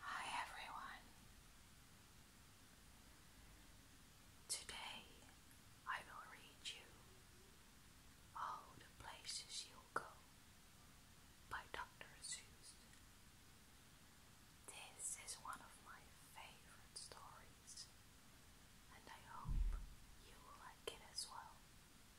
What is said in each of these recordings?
Hi everyone. Today I will read you All the Places you Go by Dr. Seuss. This is one of my favorite stories and I hope you will like it as well.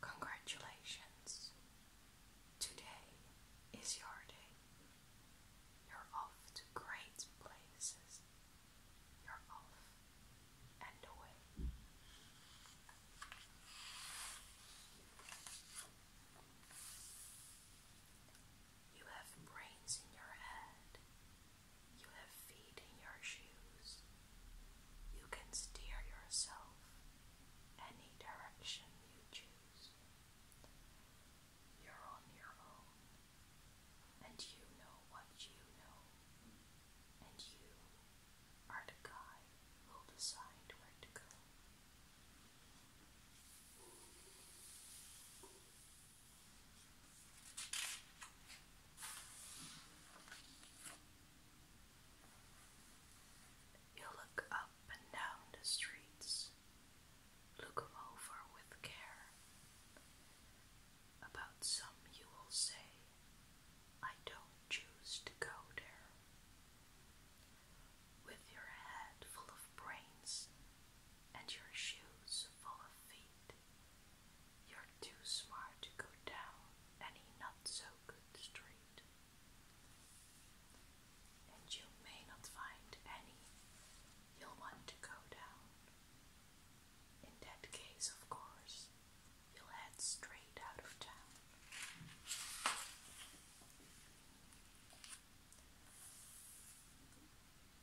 Congratulations. Today is your day. You're off to great places. You're off and away. You have brains in your head. You have feet in your shoes. You can steer yourself any direction you choose. You're on your own, and you know what you know, and you are the guy who'll decide where to go. You look up and down the streets, look them over with care. About some you will say, I don't choose to go there. With your head full of brains and your shoes full of feet, you're too smart to go down any not so good street. And you may not find any you'll want to go down. In that case, of course, you'll head straight out of town.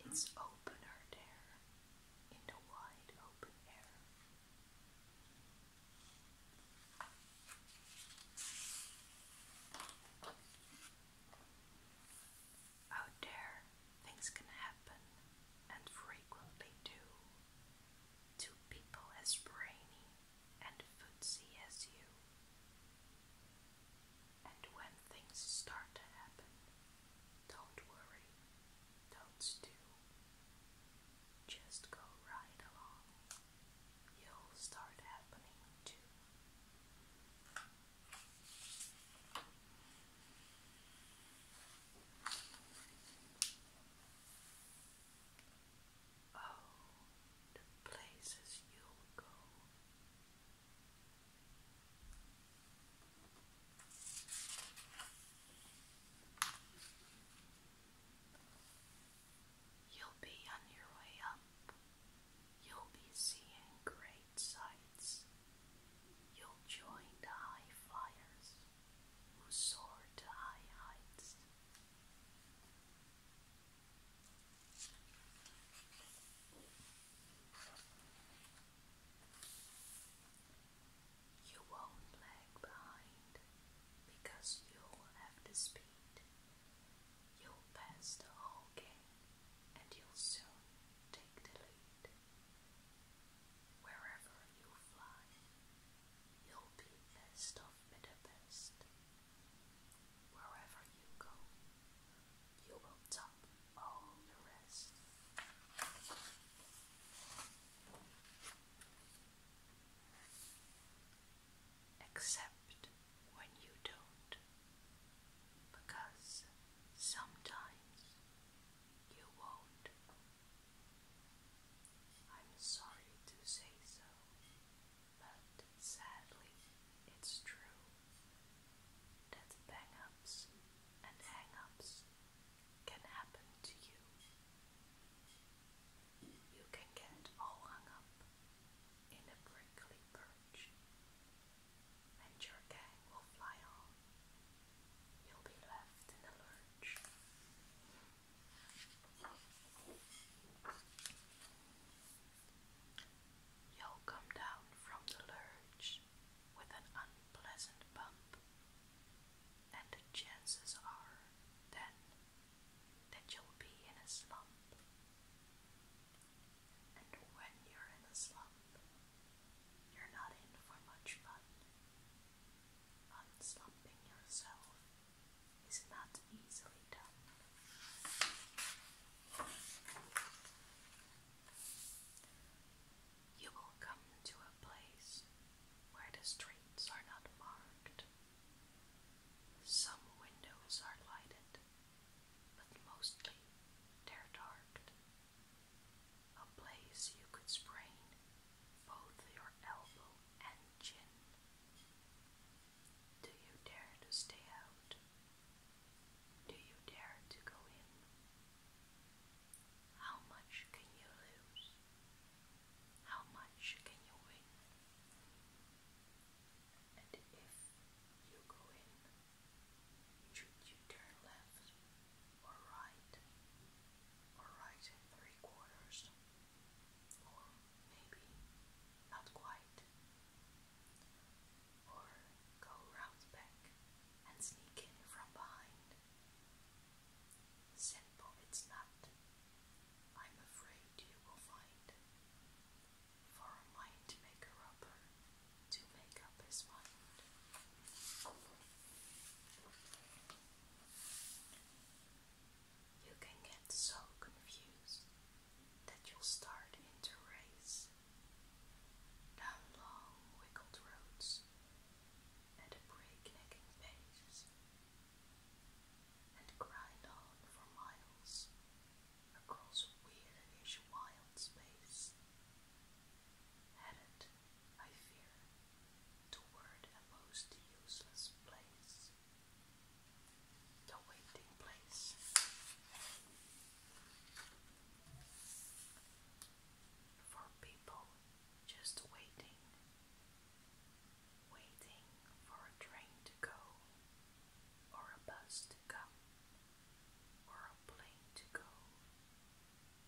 It's opener there, in the wide open air. Out there, things can happen, and frequently do, to people as brainy and footsy as you. And when things start to happen, don't worry, don't stew. Just go right along. You'll start happening too. Oh, the places you'll go. You'll be on your way up. You'll be seeing great sights. You'll join the high flyers who soar to high heights. You won't lag behind because you'll have the speed. You'll pass the whole game and you'll soon take the lead. Wherever you fly, you'll be best of the best. Wherever you go, you will top all the rest. Except when you don't, because sometimes you won't. I'm sorry to say so, but sadly it's true that bang and hang can happen to you. You can get all hung up in a prickly perch, and your gang will fly on. You'll be left in a lurch. You'll come down from the lurch with an unpleasant bump, and the chances are then that you'll be in a slump. And when you're in a slump, you're not in for much fun. Unslumping yourself is not easily done you will come to a place where the streets are not marked. Some windows are lighted, but mostly they're dark. A place you could sprain both your elbow and chin. Do you dare to stay out? Do you dare to go in? How much can you lose? How much can you win? And if you go in, should you turn left or right or right in three quarters or maybe not quite? or go round back and sneak in from behind. Simple it's not. I'm afraid you will find. For a mind maker upper to make up his mind. You can get so confused that you'll start into race down long, wrinkled roads at a breaknecking pace, and grind on for miles across weirdish wild space, headed, I fear, toward a most useless place. The waiting place for people just waiting, waiting for a train to go, or a bus to come, or a plane to go,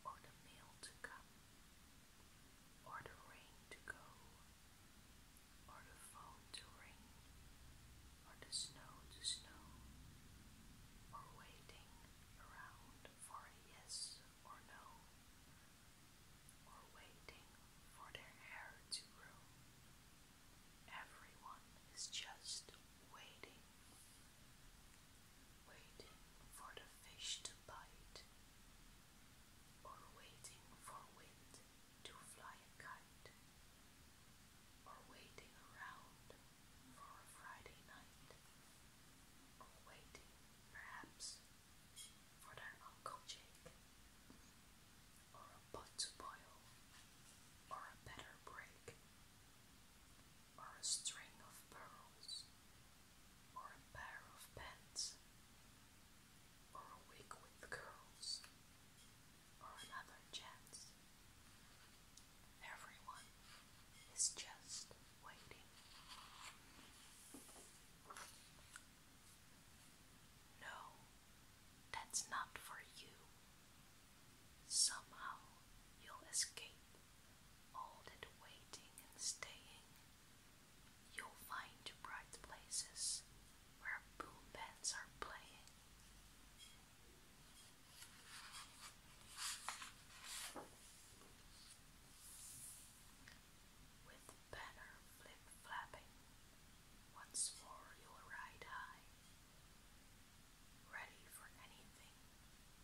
or the meal to come, or the rain to go, or the phone to ring, on the snow to snow, or waiting around for a yes or no, or waiting for their hair to grow. Everyone is just waiting, waiting for the fish to bite, or waiting for wind to fly a kite, or waiting around for a Friday night, or waiting, perhaps, for their Uncle Jake, or a pot to boil, or a better break, or a string of pearls, or a pair of pants, or a wig with curls, for another chance. Everyone is just waiting. No, that's not for you. Somehow you'll escape all that waiting and staying. You'll find bright places where boom bands are playing. With banner flip flapping, once more you ride high, ready for anything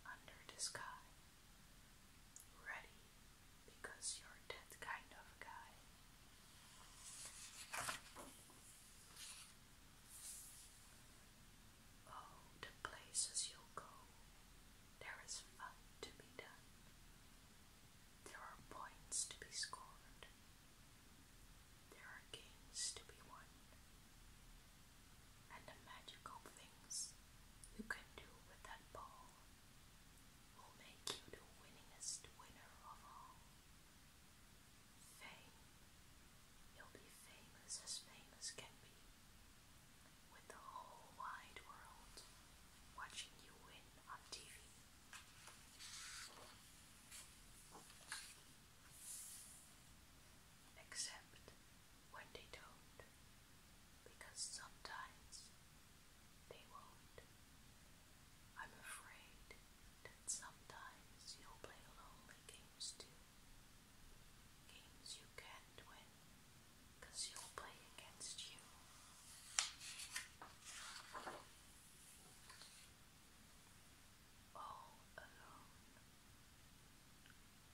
under the sky, ready because you're that kind of guy. Oh, the places you'll go, there is fun to be done. There are points to be scored. There are games to be won. And the magical things you can do with that ball will make you the winningest winner of all. Fame. He'll be famous as famous can be, with the whole wide world watching you win on TV. Except when they don't, because sometimes they won't. I'm afraid that sometimes you'll play lonely games too. Games you can't win because you'll play against you. All alone,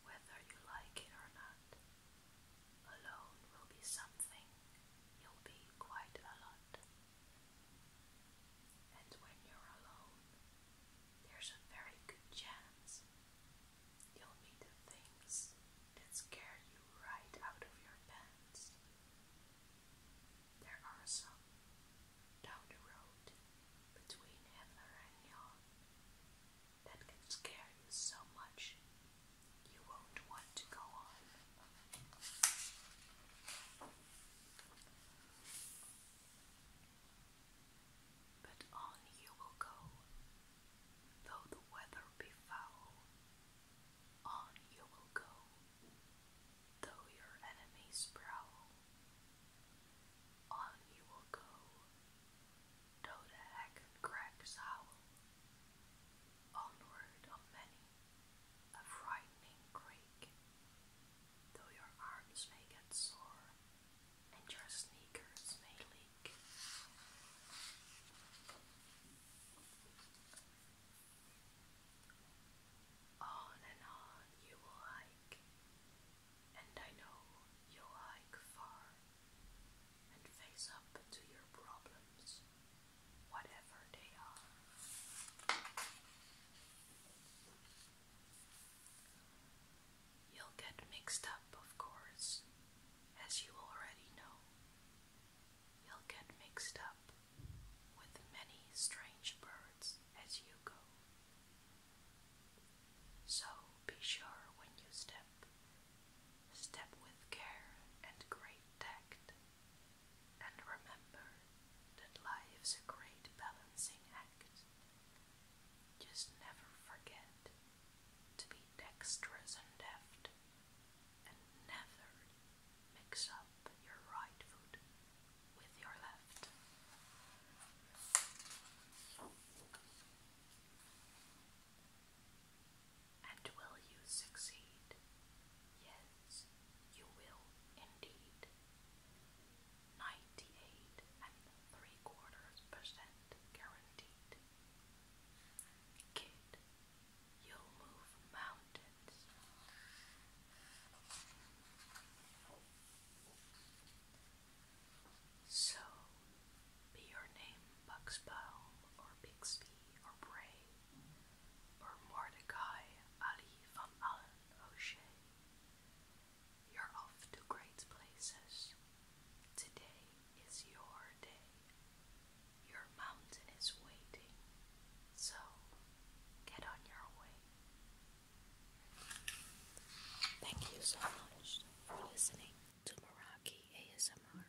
whether you like it or not, alone will be something you'll be quite a lot. And when you're alone, there's a very good chance you'll meet the things that scare you right out of your pants. There are some down the road between Hitler and Yon that can scare you so much you won't want to go on. But on you will go, though the weather be foul. On you will go, though your enemies prowl. On you will go, though the heck and cracks howl. Onward of many, a frightening quake, though your arms may get sore and your sneakers may leak. On and on you will hike, and I know you'll hike far and face up to your problems, whatever they are. You'll get mixed up, of course, as you already know. You'll get mixed up with many strange birds as you go. So be sure when you step, step with care and great tact, and remember that life's a great balancing act. Just never forget to be dexterous and deft, and never mix up your right foot with your left. And will you succeed? Yes, you will indeed. 98 and 3 quarters percent guaranteed. Kid, you'll move mountains. So, be your name Buxbaum or Bixby or Bray or Mordecai Ali van Allen O'Shea you're off to great places. Today is your day. Your mountain is waiting. So get on your way. Thank you so much for listening to Meraki ASMR.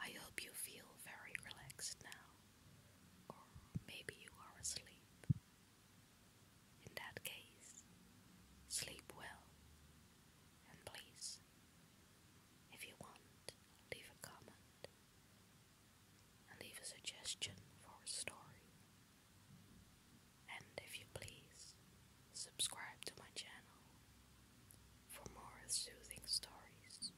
I hope you feel very relaxed now, or maybe you are asleep. In that case, sleep well, and please, if you want, leave a comment and leave a suggestion for a story. And if you please, subscribe to my channel for more soothing stories.